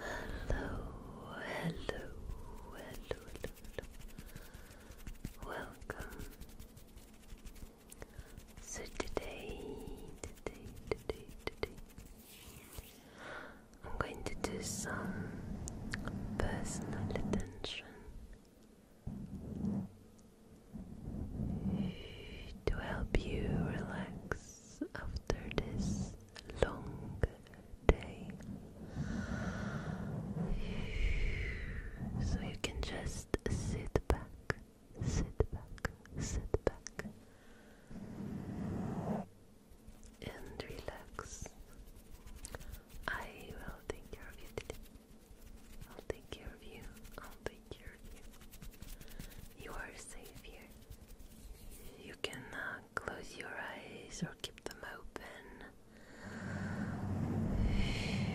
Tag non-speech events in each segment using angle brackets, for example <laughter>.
hello, hello, hello, hello. Welcome. So today, today, today, today, I'm going to do some personal attention. To help you relax after this long day. So you can just sit back, sit back, sit back, and relax. I will take care of you I'll take care of you take you. are safe here. You can close your eyes or keep them open.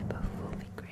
<sighs> Both will be great.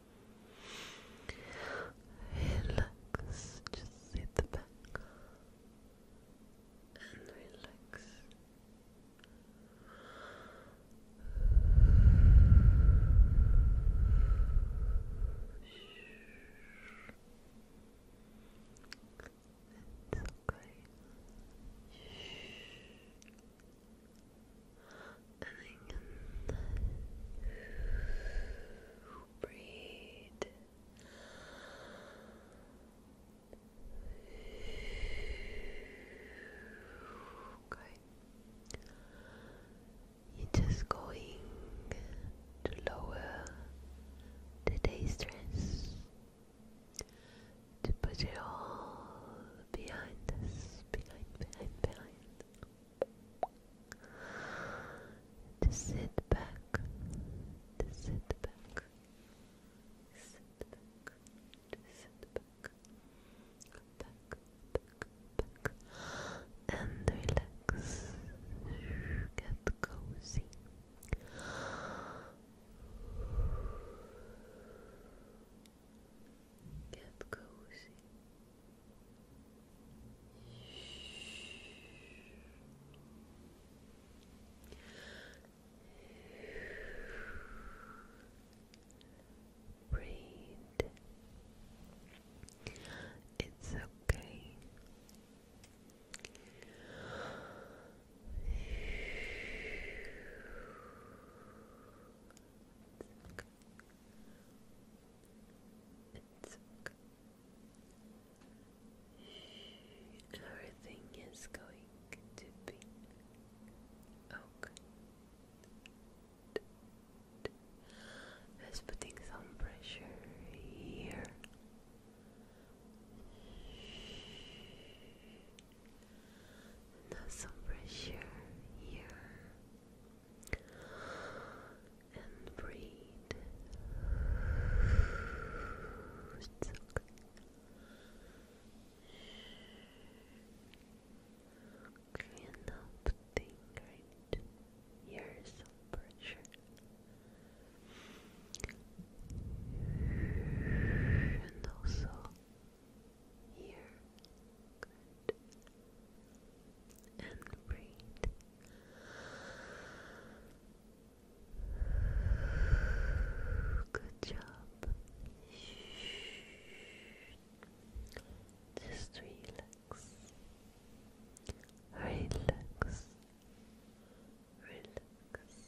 Relax, just sit back and relax. It's okay breathe. Okay. You're just going to lower the day stress, to put it all behind us, behind, behind, behind to sit back, to sit back, sit back, to sit back, back, back, back, and relax. Get cozy. Get cozy. Breathe. It's okay. It's Everything is going to be okay. Just putting some pressure here. Now some pressure here and breathe. It's okay. Clean up the pressure. And also here and breathe. Good job. Just relax. Relax. Relax. Relax. Relax.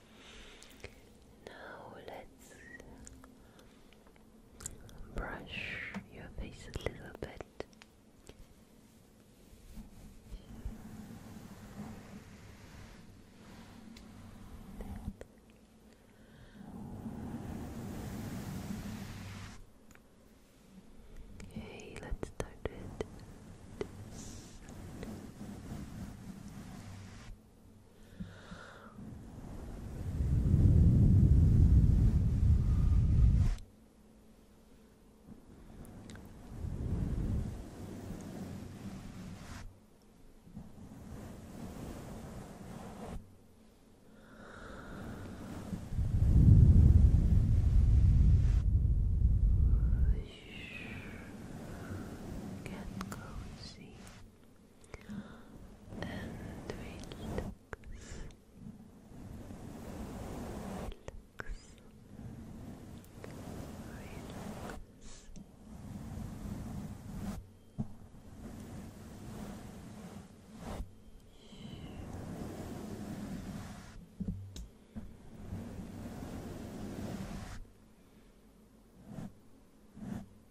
Now let's brush your face a little bit. Okay, let's start with Get cozy. Relax and relax. Relax. Relax.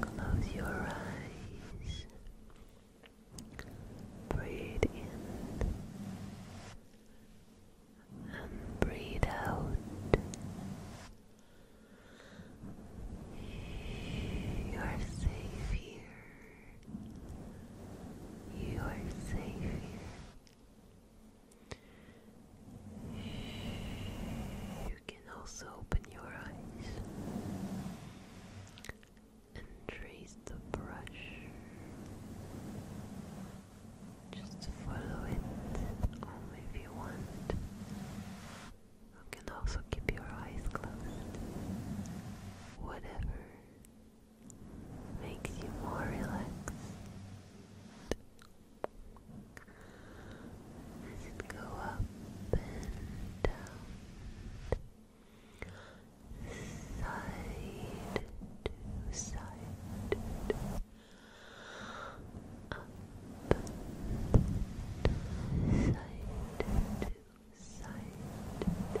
Close your eyes. Breathe in and breathe out. You are safe here. You are safe here. You can also open your eyes and trace the brush. Just follow it only if you want. You can also keep your eyes closed. Whatever makes you more relaxed go up and down side to side up side to side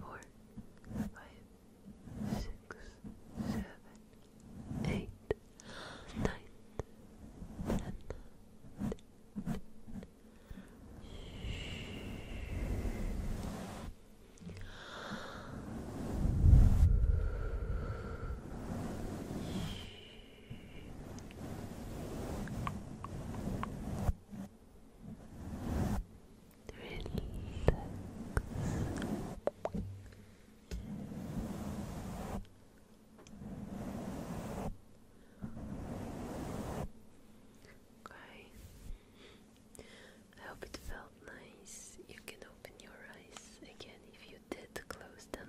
four, five, six, seven, eight, nine, ten. Shh relax. Okay. I hope it felt nice. You can open your eyes again if you did close them.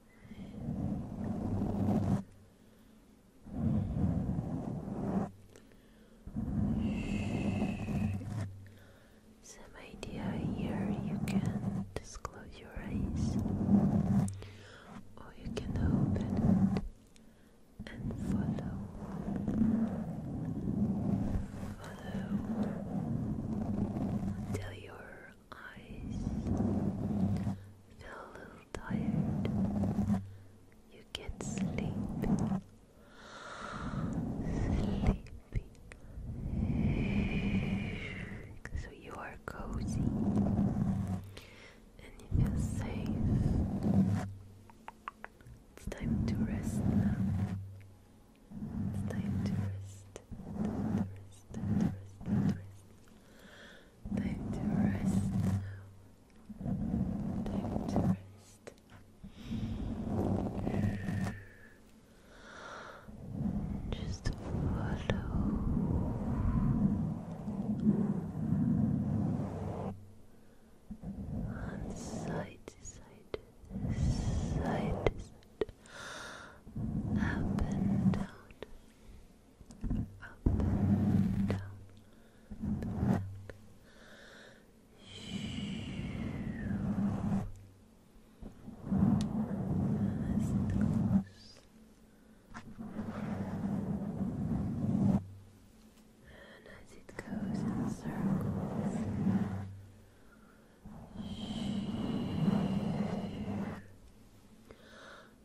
Some idea here you can close your eyes, or you can open And follow, follow until your eyes feel a little tired, you get sleepy, sleepy. So you are cozy and you feel safe. It's time to rest now. It's Time to rest. Time to rest now. Time to rest. Just follow. side to side, side to side, up and down, up, down, back. And as it goes in circles,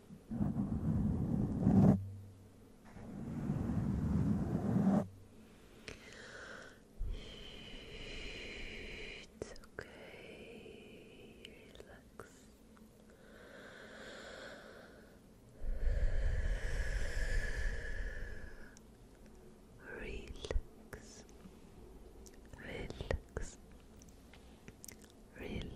It's okay. Relax. Relax. Relax. Relax.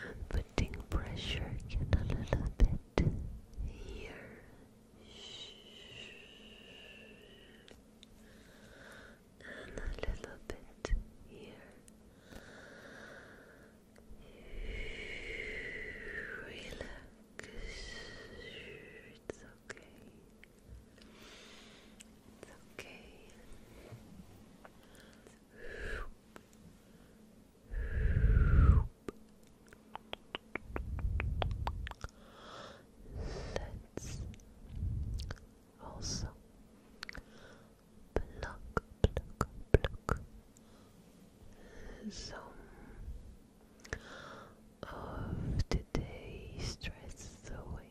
I'm putting pressure in a little bit here. And a little bit here. It's okay. It's okay. Let's also pluck, some of today's stress away.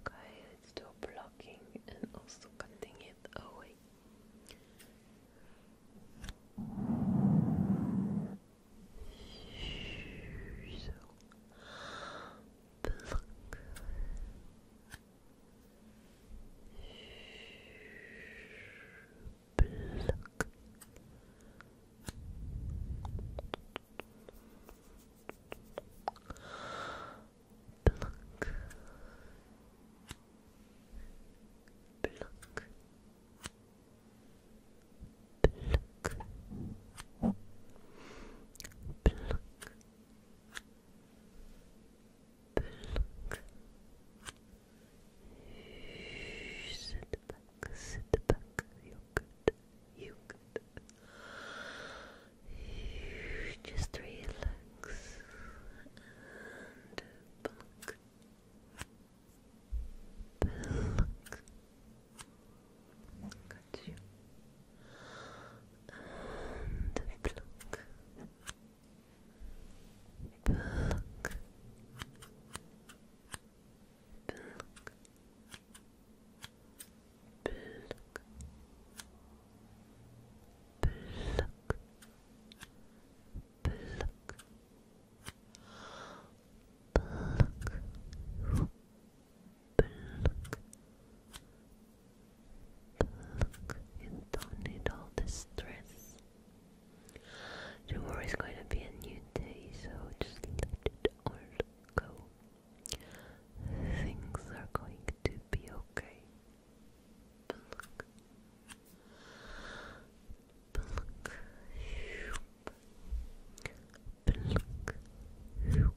Okay, let's do blocking and also cutting it away. So pluck. Pluck. Pluck. Pluck. Pluck. Pluck. Sit back, sit back, you're you're just relax and pluck, pluck. Got you. And pluck, pluck, pluck pluck, pluck, pluck, pluck. Pluck, pluck. You don't need all the stress. Tomorrow is going to be a new day, so just let it all go. Things are going to be okay. Pluck. Pluck. Pluck. Pluck. Pluck.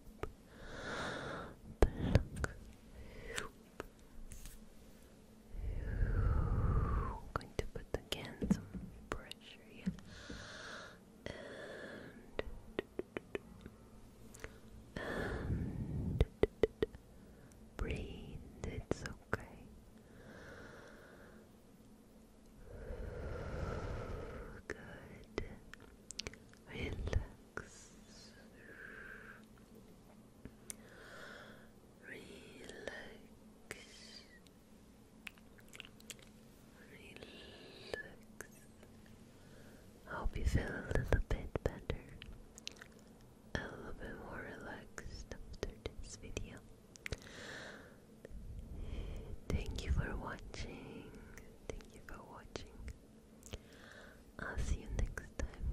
I'm going to put again some pressure here and, breathe. It's okay. Good. Relax. Relax. Relax. hope you feel a little bit better. A little bit more relaxed after this video. Thank you for watching. Thank you for watching. I'll see you next time.